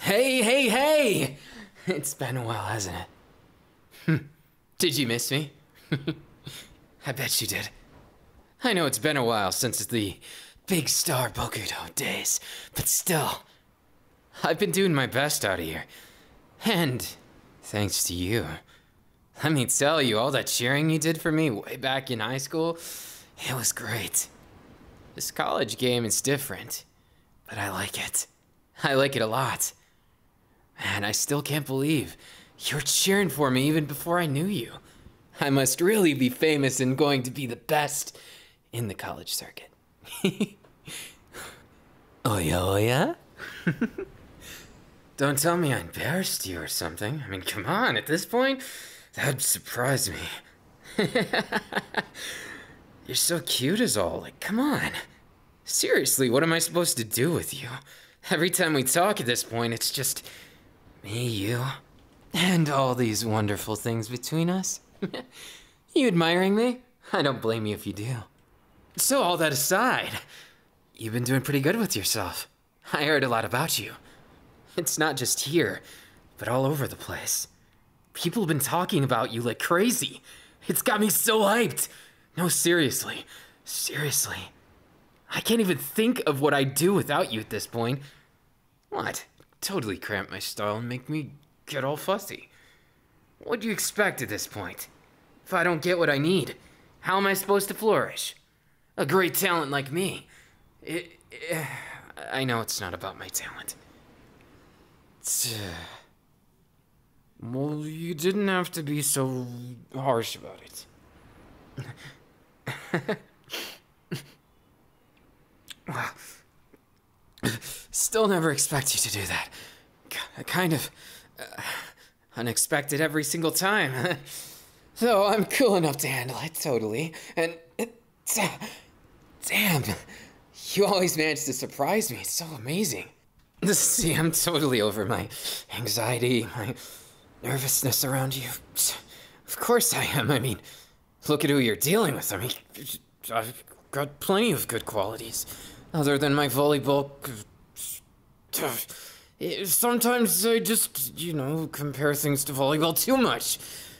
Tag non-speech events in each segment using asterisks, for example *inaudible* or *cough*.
Hey, hey, hey! *laughs* It's been a while, hasn't it? Hmm. Did you miss me? *laughs* I bet you did. I know it's been a while since the big star Bokuto days, but still, I've been doing my best out of here. And thanks to you. Let me tell you, all that cheering you did for me way back in high school, it was great. This college game is different but I like it. I like it a lot. And I still can't believe you're cheering for me even before I knew you. I must really be famous and going to be the best in the college circuit. oh yeah, oh yeah. Don't tell me I embarrassed you or something. I mean, come on, at this point, that'd surprise me. *laughs* You're so cute as all. Like, come on. Seriously, what am I supposed to do with you? Every time we talk at this point, it's just me, you, and all these wonderful things between us. *laughs* you admiring me? I don't blame you if you do. So, all that aside, you've been doing pretty good with yourself. I heard a lot about you. It's not just here, but all over the place. People have been talking about you like crazy. It's got me so hyped. No, seriously. Seriously. I can't even think of what I'd do without you at this point. What? Totally cramp my style and make me get all fussy. What do you expect at this point? If I don't get what I need, how am I supposed to flourish? A great talent like me. It, *sighs* I know it's not about my talent. Uh, well, you didn't have to be so harsh about it. *laughs* Still never expect you to do that. K kind of uh, unexpected every single time. Though *laughs* I'm cool enough to handle it, totally. And Damn! You always manage to surprise me. It's so amazing. *laughs* See, I'm totally over my anxiety, my nervousness around you. Of course I am. I mean, look at who you're dealing with. I mean, I've got plenty of good qualities, other than my volleyball. Sometimes I just, you know, compare things to volleyball too much,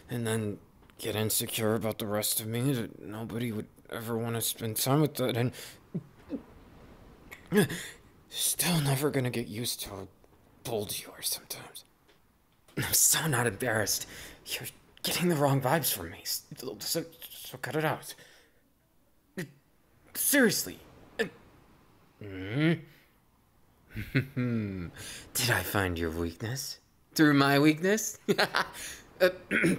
and then get insecure about the rest of me that nobody would ever want to spend time with that and still never gonna get used to how bold you sometimes. I'm so not embarrassed. You're getting the wrong vibes from me. So, so cut it out. Seriously. hmm? *laughs* Did I find your weakness? through my weakness. *laughs* Uh, *clears throat*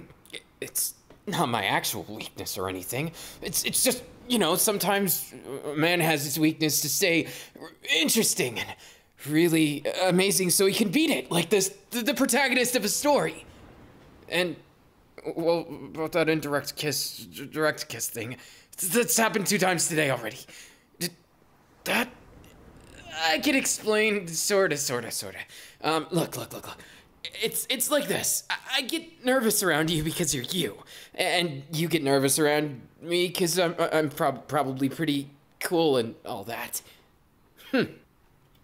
it's not my actual weakness or anything. It's it's just you know sometimes man has his weakness to say interesting and really amazing so he can beat it like this the protagonist of a story. And well, about that indirect kiss, direct kiss thing, that's happened two times today already that I can explain sorta sorta sorta. Um look look look look. It's it's like this. I, get nervous around you because you're you, and you get nervous around me because I'm I'm prob- probably pretty cool and all that. Hmm.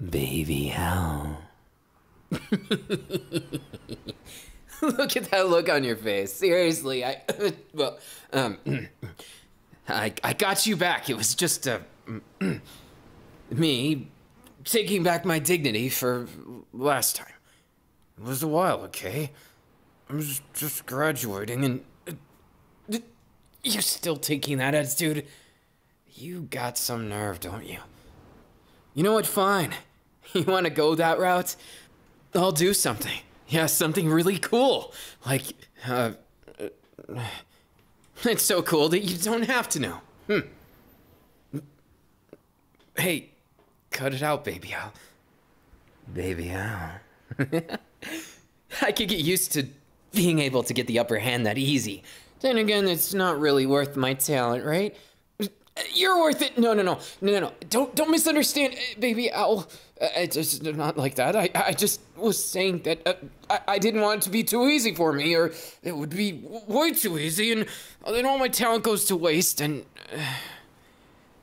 Baby, how? *laughs* look at that look on your face. Seriously, I *laughs* well um. *clears throat* I, I got you back. It was just uh, a. *clears throat* me taking back my dignity for last time. It was a while, okay? I was just graduating and. Uh, you're still taking that attitude? You got some nerve, don't you? You know what? Fine. *laughs* You want to go that route? I'll do something. Yeah, something really cool. Like, uh, uh *laughs* It's so cool that you don't have to know. Hmm. Hey, cut it out, baby owl. Baby owl. *laughs* I could get used to being able to get the upper hand that easy. Then again, it's not really worth my talent, right? You're worth it. No, no, no, no, no, no. Don't, don't misunderstand, uh, baby owl. Uh, it's just not like that. I, I just was saying that uh, I, I didn't want it to be too easy for me, or it would be way too easy, and uh, then all my talent goes to waste, and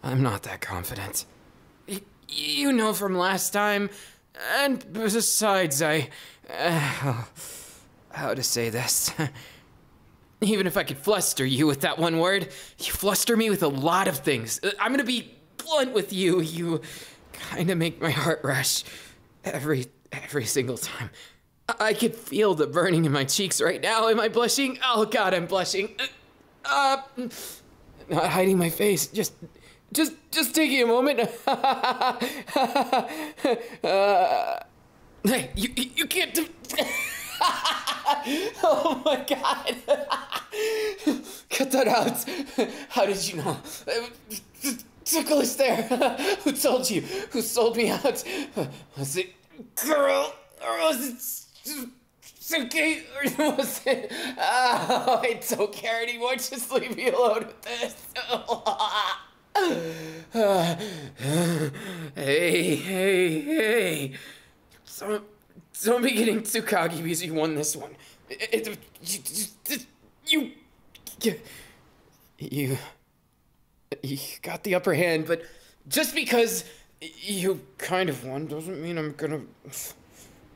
I'm not that confident. you know from last time, and besides, I. how to say this? *laughs* Even if I could fluster you with that one word, you fluster me with a lot of things. I'm gonna be blunt with you. You kind of make my heart rush every every single time. I, I could feel the burning in my cheeks right now. Am I blushing? Oh God, I'm blushing. Uh, uh not hiding my face. Just just just taking a moment. *laughs* uh, hey, you you can't. Do- *laughs* oh my god! *laughs* Cut that out! How did you know? tickle is there. *laughs* Who told you? Who sold me out? Was it girl or was it Suki or was it? Oh, I don't care anymore. Just leave me alone with this. *laughs* hey, hey, hey! So, don't be getting too cocky because you won this one. it, you. You. You got the upper hand, but just because you kind of won doesn't mean I'm gonna.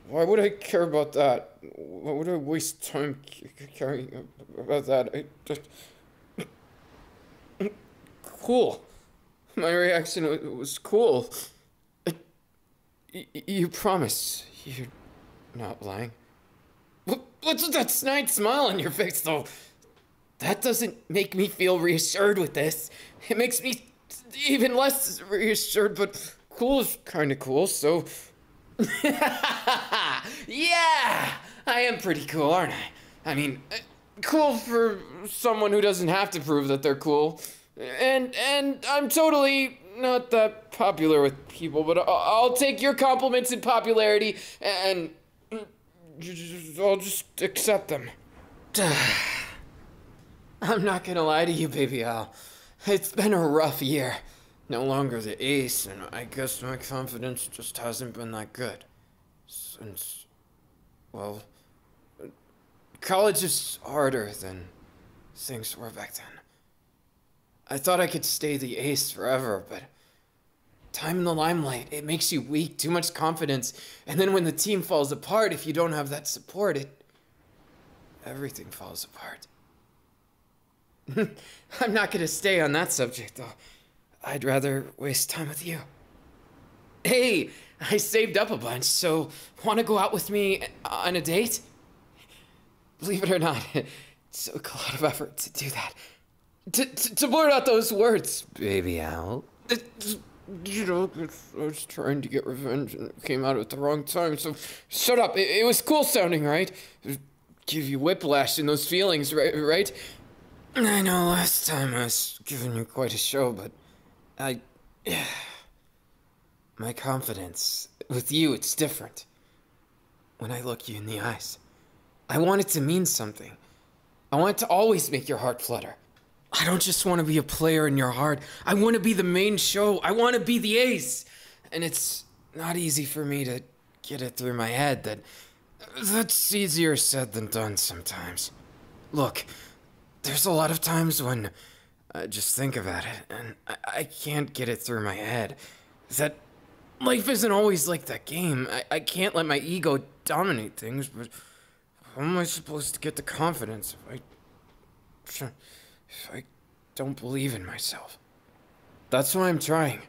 Why would I care about that? Why would I waste time caring about that? Cool. My reaction was cool. You promise you're not lying? What's that snide smile on your face, though? That doesn't make me feel reassured with this. It makes me even less reassured, but cool is kind of cool, so. *laughs* yeah! I am pretty cool, aren't I? I mean, uh, cool for someone who doesn't have to prove that they're cool. And and I'm totally not that popular with people, but I'll, take your compliments in popularity and I'll just accept them. *sighs* I'm not gonna lie to you, baby Al. It's been a rough year. No longer the ace, and I guess my confidence just hasn't been that good. Since, well, college is harder than things were back then. I thought I could stay the ace forever, but time in the limelight, it makes you weak, too much confidence, and then when the team falls apart, if you don't have that support, it. everything falls apart. *laughs* I'm not gonna stay on that subject, though. I'd rather waste time with you. Hey, I saved up a bunch, so wanna go out with me on a date? Believe it or not, *laughs* it took a lot of effort to do that. To, to, to blurt out those words, baby owl. you know, I was trying to get revenge and it came out at the wrong time, so shut up. It, was cool sounding, right? Give you whiplash in those feelings, right? right? I know last time I was giving you quite a show, but I. *sighs* my confidence. With you, it's different. When I look you in the eyes, I want it to mean something. I want it to always make your heart flutter. I don't just want to be a player in your heart. I want to be the main show. I want to be the ace. And it's not easy for me to get it through my head that that's easier said than done sometimes. Look, there's a lot of times when uh, just think about it, and I, can't get it through my head. Is that life isn't always like that game. I, I can't let my ego dominate things, but how am I supposed to get the confidence if I, if I don't believe in myself? That's why I'm trying.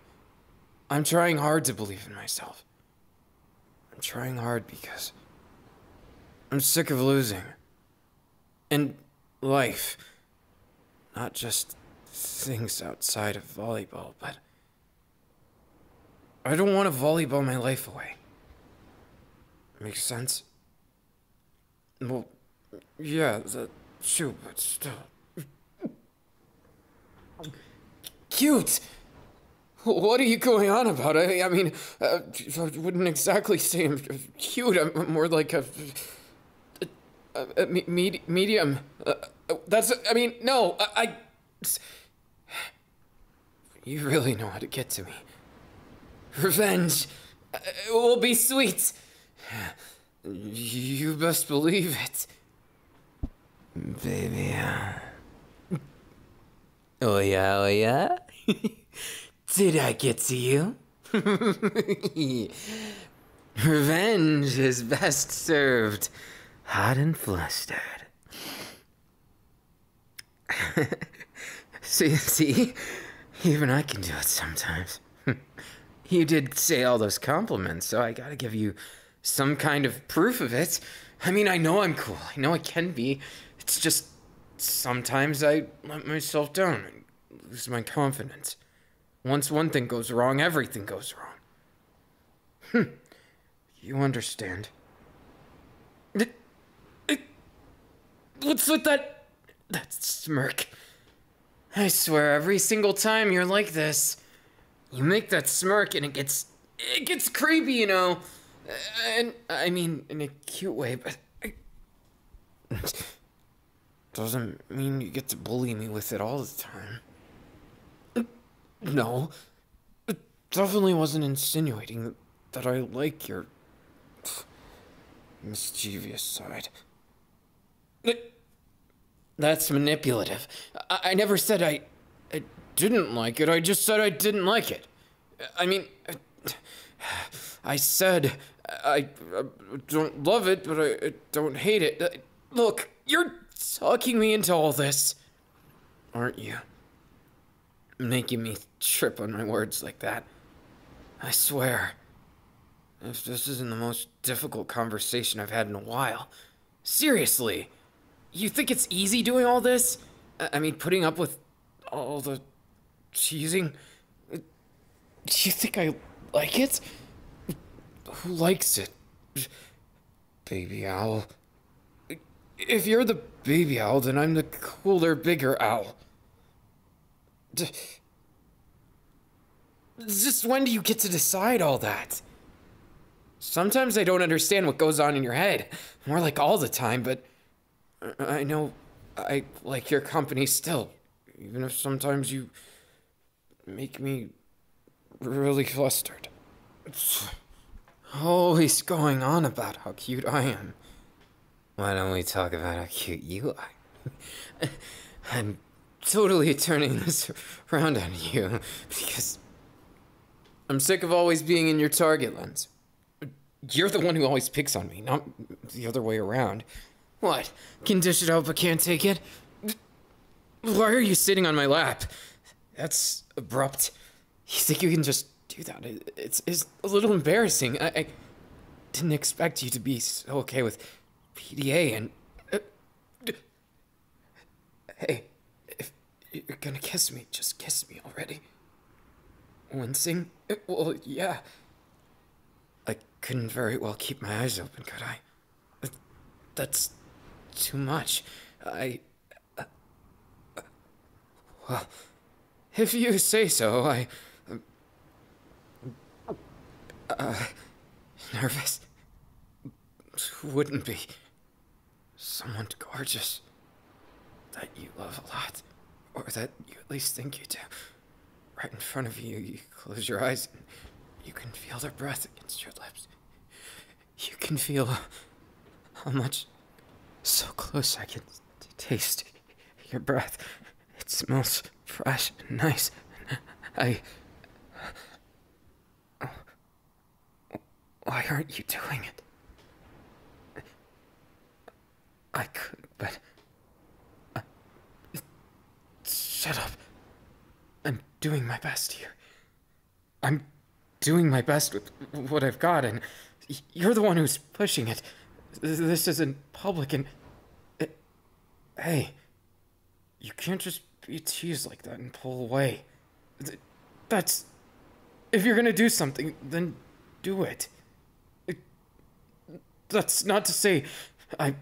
I'm trying hard to believe in myself. I'm trying hard because I'm sick of losing and life. Not just things outside of volleyball, but. I don't want to volleyball my life away. Makes sense? Well, yeah, the shoe, but still. Cute! What are you going on about? I, I mean, uh, I wouldn't exactly say I'm cute. I'm more like a uh, uh, medium. Uh, that's. I mean, no. I. You really know how to get to me. Revenge will be sweet. You best believe it. Baby. Oh yeah, oh yeah. *laughs* Did I get to you? *laughs* Revenge is best served hot and flustered. see, *laughs* see, even I can do it sometimes. *laughs* you did say all those compliments, so I gotta give you some kind of proof of it. I mean, I know I'm cool. I know I can be. It's just sometimes I let myself down lose my confidence. Once one thing goes wrong, everything goes wrong. Hm. You understand. It, it, what's with that... that smirk? I swear, every single time you're like this, you make that smirk and it gets... it gets creepy, you know? And, I mean, in a cute way, but... Doesn't mean you get to bully me with it all the time. No. It definitely wasn't insinuating that I like your mischievous side. That's manipulative. I, never said I, didn't like it, I just said I didn't like it. I mean, *sighs* I said I, don't love it, but I, don't hate it. Uh, look, you're sucking me into all this, aren't you? Making me trip on my words like that. I swear. this isn't the most difficult conversation I've had in a while. Seriously. You think it's easy doing all this? I mean, putting up with all the cheesing. Do you think I like it? Who likes it? Baby owl. If you're the baby owl, then I'm the cooler, bigger owl. just when do you get to decide all that? Sometimes I don't understand what goes on in your head. More like all the time, but uh, I know I like your company still even if sometimes you make me really flustered. It's always going on about how cute I am. Why don't we talk about how cute you are? *laughs* I'm totally turning this around on you because I'm sick of always being in your target lens. You're the one who always picks on me, not the other way around. What? Can dish it out but can't take it? Why are you sitting on my lap? That's abrupt. You think you can just do that? It's, it's a little embarrassing. I, didn't expect you to be so okay with PDA and. Uh, hey, if you're gonna kiss me, just kiss me already. Wincing? Well, yeah. I couldn't very well keep my eyes open, could I? That's too much. I. Uh, uh, well, if you say so, I. Uh, nervous. Wouldn't be. Someone gorgeous. That you love a lot. Or that you at least think you do right in front of you. You close your eyes. You can feel their breath against your lips. You can feel how much so close I can taste your breath. It smells fresh and nice. I. Why aren't you doing it? I could, but. Uh, shut up. I'm doing my best here. I'm doing my best with what I've got, and you're the one who's pushing it. This isn't public, and. Uh, hey, you can't just be teased like that and pull away. That's. If you're gonna do something, then do it. Uh, that's not to say I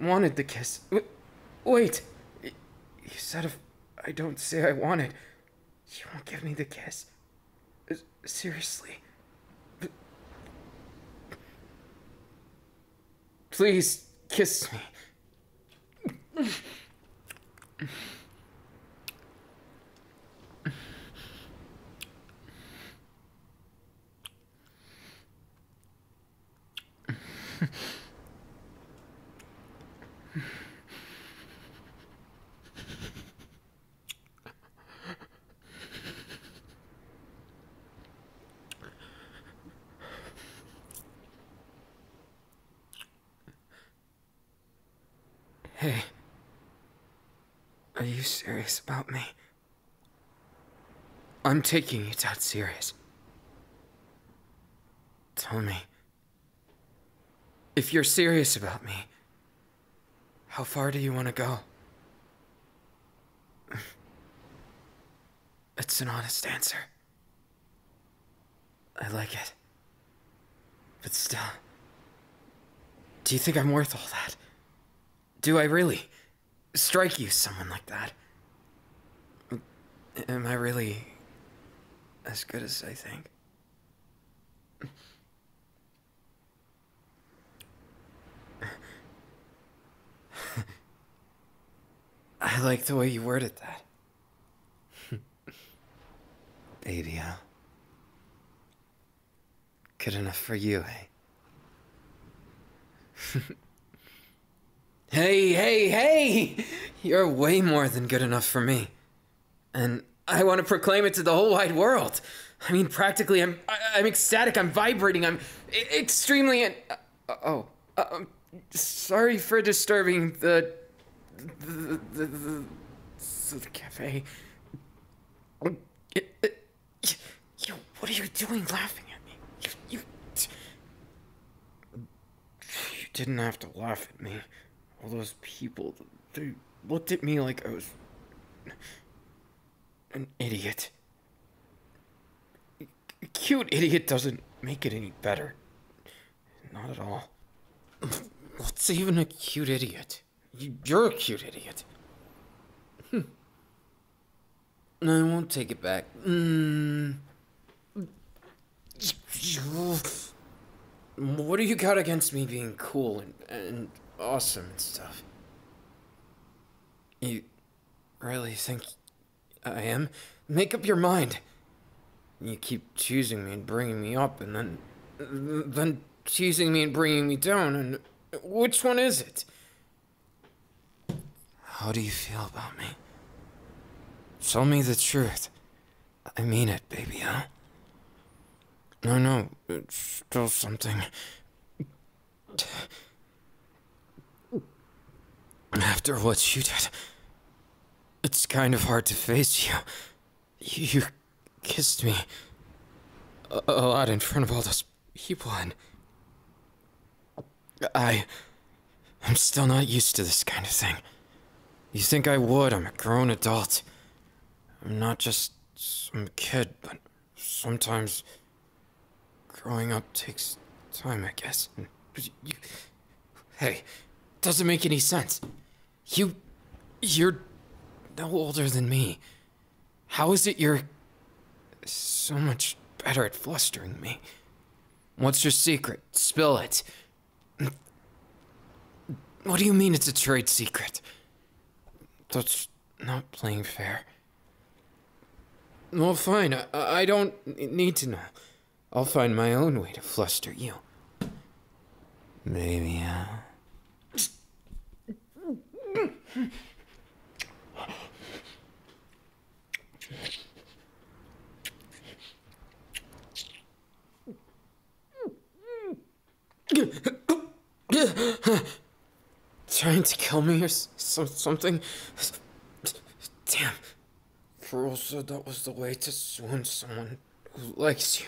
wanted the kiss. Wait! You said if I don't say I wanted, you won't give me the kiss. Seriously. Please kiss me. Hey. Are you serious about me? I'm taking it out serious. Tell me. If you're serious about me, how far do you want to go? *laughs* It's an honest answer. I like it. But still. Do you think I'm worth all that? Do I really? strike you someone like that? Am I really as good as I think? I like the way you worded that. *laughs* Baby, huh? Good enough for you, eh? *laughs* hey, hey, hey! You're way more than good enough for me. And I want to proclaim it to the whole wide world. I mean, practically, I'm, I, am ecstatic, I'm vibrating, I'm extremely. Uh, oh, uh, I'm um, sorry for disturbing the. the, the, the, the, the cafe. Um, it, it, you, what are you doing laughing at me? You, you, you didn't have to laugh at me. All those people, they looked at me like I was an idiot. cute idiot doesn't make it any better. Not at all. What's even a cute idiot? You're a cute idiot. Hm. No, I won't take it back. Mm. What do you got against me being cool and, and awesome and stuff? You really think I am? Make up your mind. You keep choosing me and bringing me up, and then. then choosing me and bringing me down, and which one is it? How do you feel about me? Tell me the truth. I mean it, baby, huh? No, no, it's still something. After what you did, it's kind of hard to face you. You kissed me a, a lot in front of all those he won. I... I'm still not used to this kind of thing. You think I would, I'm a grown adult. I'm not just some kid, but sometimes... Growing up takes time, I guess. Hey, doesn't make any sense. You... You're no older than me. How is it you're so much better at flustering me? What's your secret? Spill it. What do you mean it's a trade secret? That's not playing fair. Well, fine. I, don't need to know. I'll find my own way to fluster you. Maybe, I. Uh, Trying to kill me or some, something? Damn. Pearl said that was the way to swoon someone who likes you.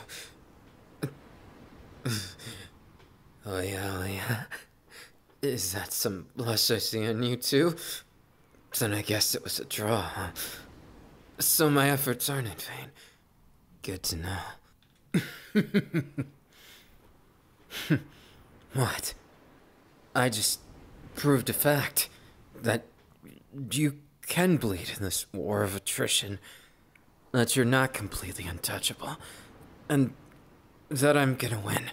oh yeah, oh yeah. Is that some blush I see on you too? Then I guess it was a draw, So my efforts aren't in vain. Good to know. *laughs* what? I just proved a fact that you can bleed in this war of attrition, that you're not completely untouchable, and that I'm gonna win.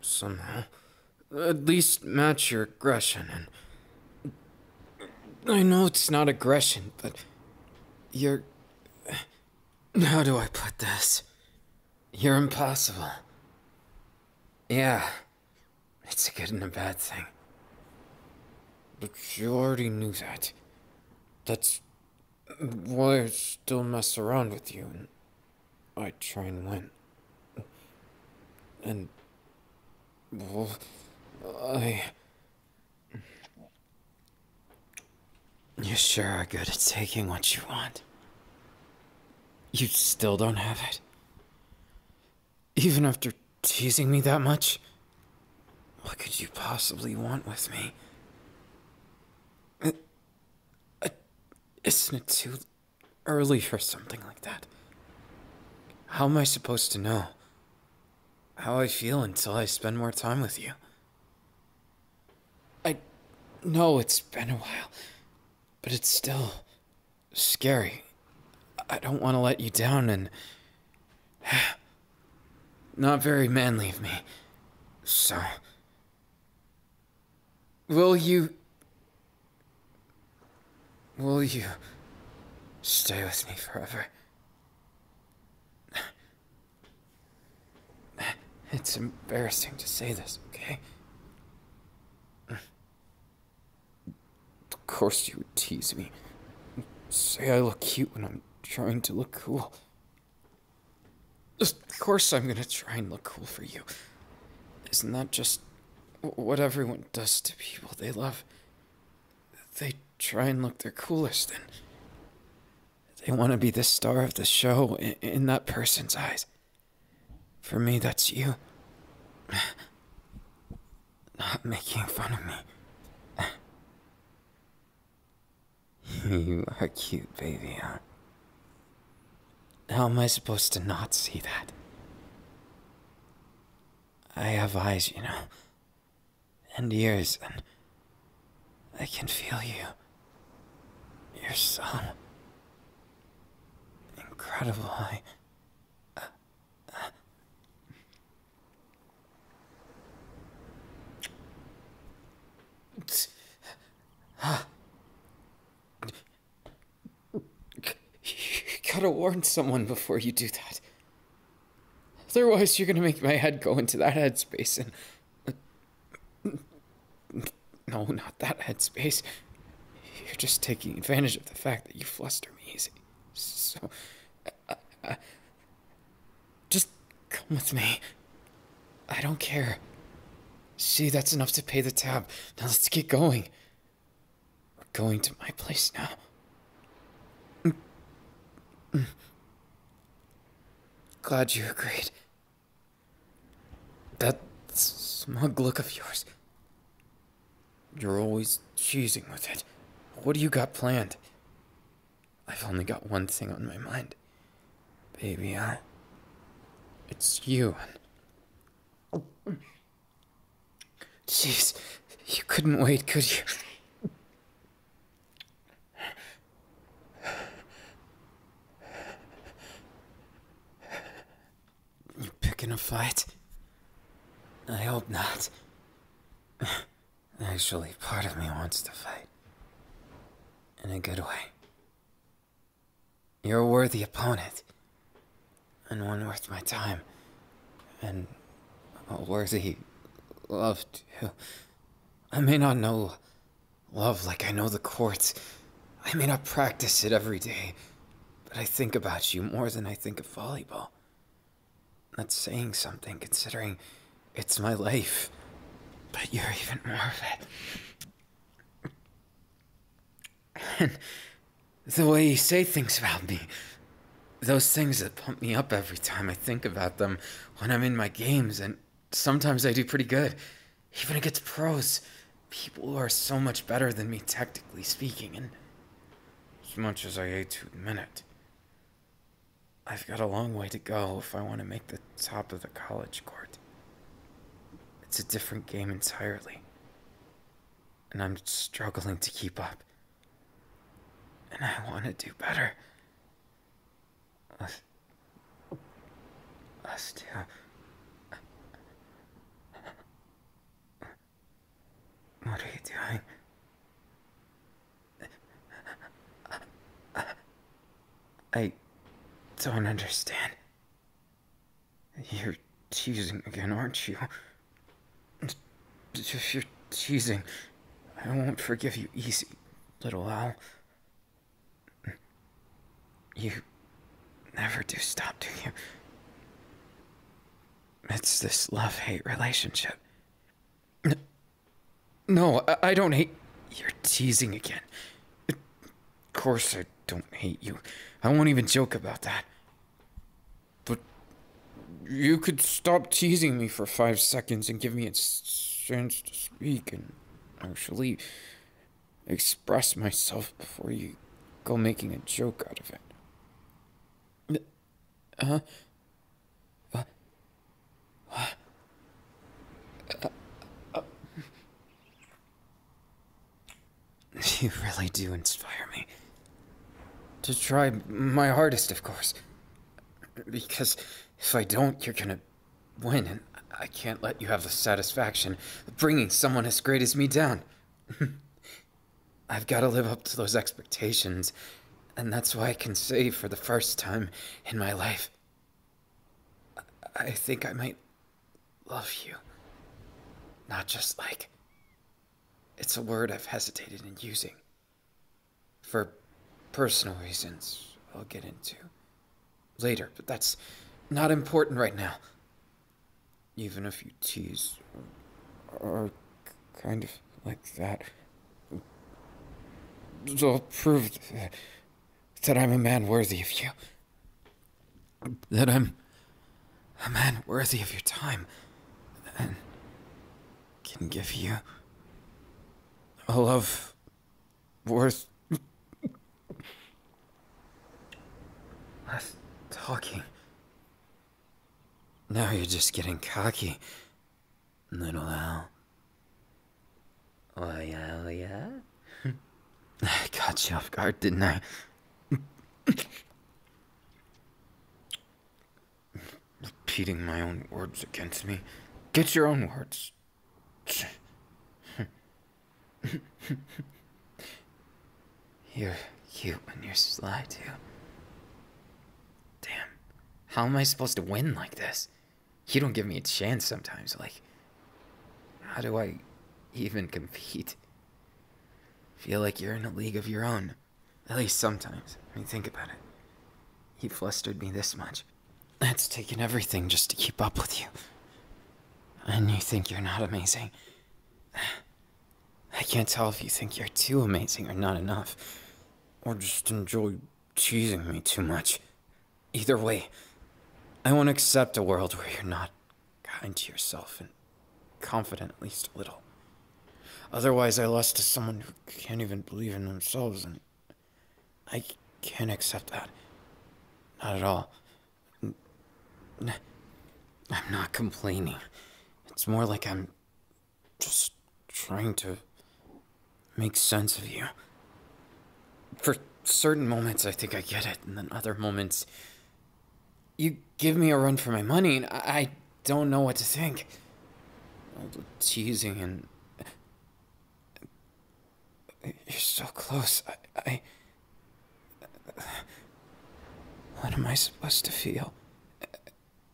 Somehow. At least match your aggression and. I know it's not aggression, but. You're. How do I put this? You're impossible. Yeah. It's a good and a bad thing. But you already knew that. That's well, I still mess around with you, and I try and win. And. Well, I. You sure are good at taking what you want. You still don't have it? Even after teasing me that much? What could you possibly want with me? isn't it too early for something like that? How am I supposed to know how I feel until I spend more time with you? I know it's been a while, but it's still scary. I don't want to let you down and. *sighs* Not very manly of me. So, Will you. Will you. stay with me forever? It's embarrassing to say this, okay? Of course you would tease me. Say I look cute when I'm trying to look cool. Of course I'm gonna try and look cool for you. Isn't that just what everyone does to people they love? They try and look their coolest and they want to be the star of the show in, that person's eyes. For me, that's you. *sighs* Not making fun of me. *laughs* you are cute, baby, How am I supposed to not see that? I have eyes, you know, and ears, and I can feel you. Your son. Incredible. I. Uh, uh. You gotta warn someone before you do that. Otherwise, you're gonna make my head go into that headspace and. No, not that headspace. You're just taking advantage of the fact that you fluster me easy. So. Just come with me. I don't care. See, that's enough to pay the tab. Now let's get going. We're going to my place now. Mm. Mm. Glad you agreed. That smug look of yours. You're always cheesing with it. What do you got planned? I've only got one thing on my mind. Baby, I. It's you. Jeez, you couldn't wait, could you? You picking a fight? I hope not. Actually, part of me wants to fight. In a good way. You're a worthy opponent. And one worth my time. And a worthy love, too. I may not know love like I know the courts. I may not practice it every day. But I think about you more than I think of volleyball. That's saying something, considering it's my life. But you're even more of it. And the way you say things about me, those things that pump me up every time I think about them when I'm in my games, and sometimes I do pretty good, even against pros, people who are so much better than me, technically speaking, and as much as I hate to admit it, I've got a long way to go if I want to make the top of the college court. It's a different game entirely. And I'm struggling to keep up. And I want to do better. Us. Us too. What are you doing? I don't understand. You're teasing again, aren't you? If you're teasing, I won't forgive you easy, little owl. You never do stop, do you? It's this love hate relationship. No, I, don't hate. You're teasing again. Of course, I don't hate you. I won't even joke about that. But you could stop teasing me for five seconds and give me a chance to speak and actually express myself before you go making a joke out of it. Huh? Uh, *sighs* You really do inspire me. To try my hardest, of course. Because if I don't, you're gonna win, and I can't let you have the satisfaction of bringing someone as great as me down. *laughs* I've gotta live up to those expectations, and that's why I can say for the first time in my life, I think I might love you. Not just like. It's a word I've hesitated in using. For personal reasons I'll get into later, but that's not important right now. Even if you tease or, kind of like that, it's all prove that I'm a man worthy of you. That I'm a man worthy of your time. And can give you a love worth less talking. Now you're just getting cocky, little owl. Oh yeah, oh, yeah. *laughs* I got you off guard, didn't I? Repeating my own words against me. Get your own words. you're cute and you're sly, too. Damn. How am I supposed to win like this? You don't give me a chance sometimes. Like, how do I even compete? Feel like you're in a league of your own. At least sometimes. I mean, think about it. You flustered me this much. That's taken everything just to keep up with you. And you think you're not amazing. I can't tell if you think you're too amazing or not enough. Or just enjoy teasing me too much. Either way, I won't accept a world where you're not kind to yourself and confident at least a little. Otherwise, I lost to someone who can't even believe in themselves, and I can't accept that. Not at all. i I'm not complaining. It's more like I'm just trying to make sense of you. For certain moments, I think I get it, and then other moments, you give me a run for my money, and I don't know what to think. All the teasing and. You're so close. I, I. What am I supposed to feel?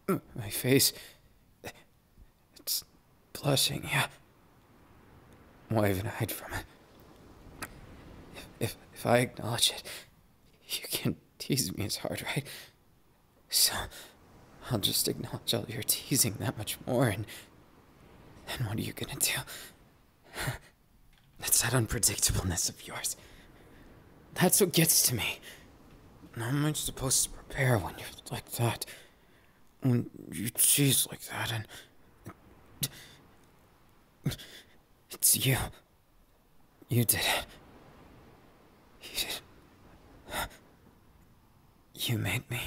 My face. It's blushing, yeah. More than I hide from it. If, if, I acknowledge it, you can tease me as hard, right? So, I'll just acknowledge all your teasing that much more, and then what are you gonna do? That's that unpredictableness of yours. That's what gets to me. How am I supposed to prepare when you're like that? when you tease like that and. It's you. You did it. You did. You made me.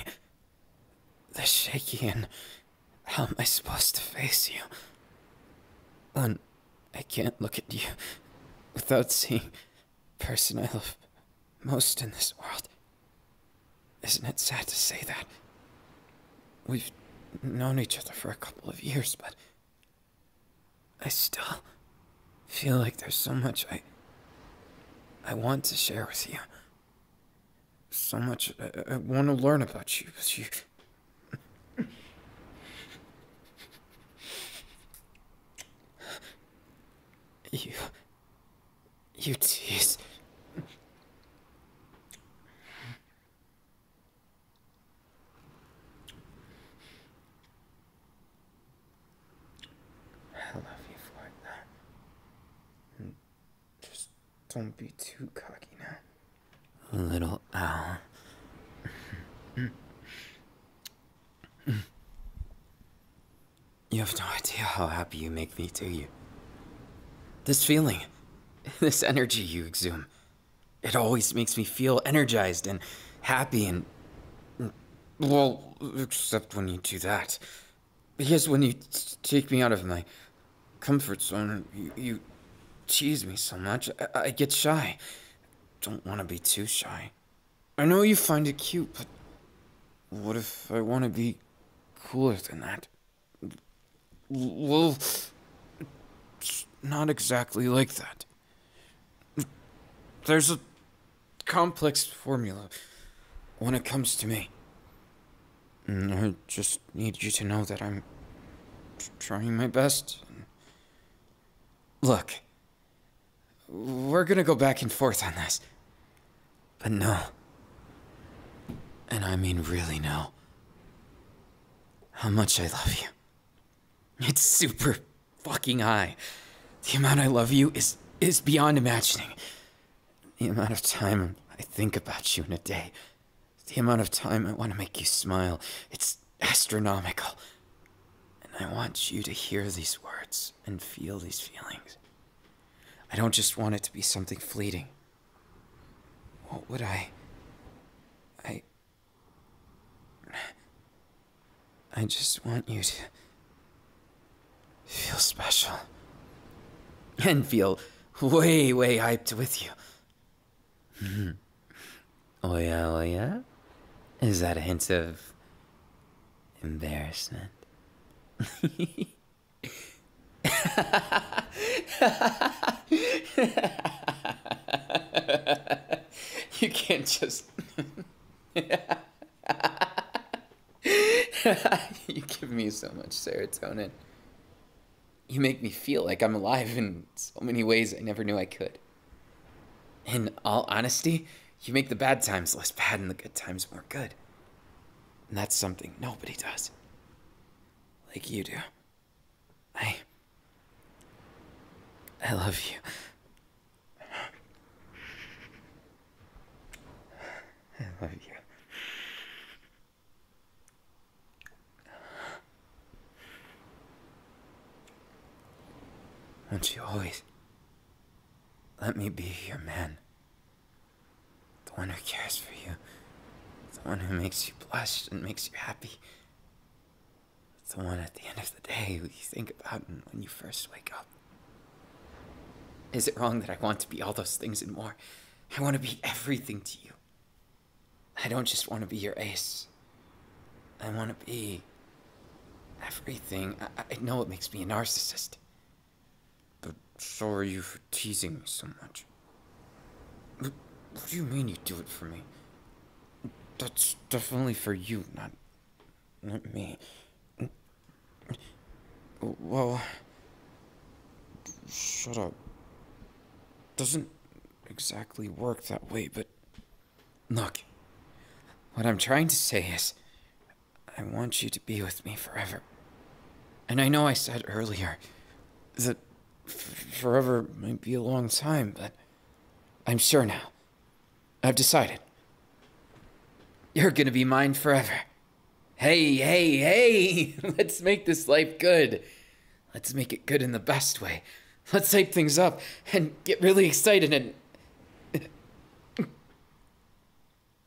This shaky and. How am I supposed to face you? When I can't look at you without seeing person I love most in this world. Isn't it sad to say that? We've known each other for a couple of years, but I still feel like there's so much I I want to share with you. So much I, want to learn about you you you tease. I love you for just don't be too cocky now. Little owl. *laughs* You have no idea how happy you make me, do you? This feeling, *laughs* this energy you exhume, it always makes me feel energized and happy and. Well, except when you do that. Because when you take me out of my comfort zone, you, tease me so much, I get shy. Don't want to be too shy. I know you find it cute, but what if I want to be cooler than that? Well, not exactly like that. There's a complex formula when it comes to me. Mm, I just need you to know that I'm trying my best. Look, we're gonna go back and forth on this. But no. And I mean really no. How much I love you. It's super fucking high. The amount I love you is is beyond imagining. The amount of time I think about you in a day. The amount of time I want to make you smile. It's astronomical. And I want you to hear these words and feel these feelings. I don't just want it to be something fleeting. What would I... I... I just want you to... feel special. And feel way, way hyped with you. *laughs* oh yeah, oh yeah? Is that a hint of... embarrassment? *laughs* *laughs* you can't just. *laughs* you give me so much serotonin. You make me feel like I'm alive in so many ways I never knew I could. In all honesty, you make the bad times less bad and the good times more good. And that's something nobody does. Like you do. I. I love you. I love you. Won't you always let me be your man? The one who cares for you. The one who makes you blush and makes you happy. the one at the end of the day who you think about when you first wake up. Is it wrong that I want to be all those things and more? I want to be everything to you. I don't just want to be your ace. I want to be everything. I know it makes me a narcissist. But sorry you for teasing me so much. What, what do you mean you do it for me? That's definitely for you, not, not me. Well, shut up. Doesn't exactly work that way, but look, what I'm trying to say is I want you to be with me forever. And I know I said earlier that forever might be a long time, but I'm sure now. I've decided. You're gonna be mine forever. Hey, hey, hey! *laughs* Let's make this life good. Let's make it good in the best way. Let's hype things up and get really excited and. *laughs*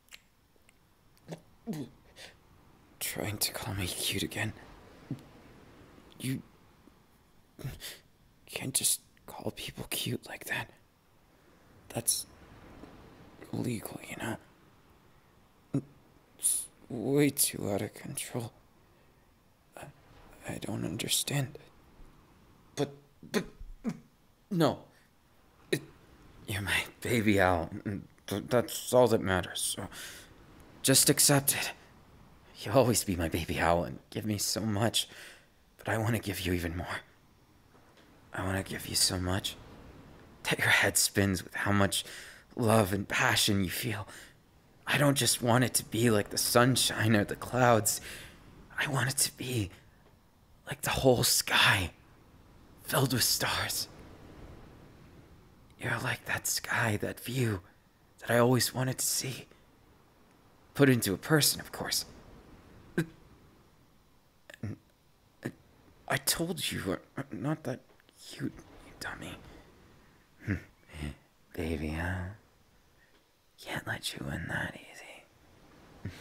Trying to call me cute again. You can't just call people cute like that. That's illegal, you know? It's way too out of control. I, I don't understand. But, but, no. You're my baby owl. and mm, That's all that matters. just accept it. You'll always be my baby owl and give me so much, but I want to give you even more. I want to give you so much that your head spins with how much love and passion you feel. I don't just want it to be like the sunshine or the clouds. I want it to be like the whole sky filled with stars. You're like that sky, that view that I always wanted to see. Put into a person, of course. I told you, uh, not that cute, you dummy. *laughs* Baby, huh? Can't let you in that easy.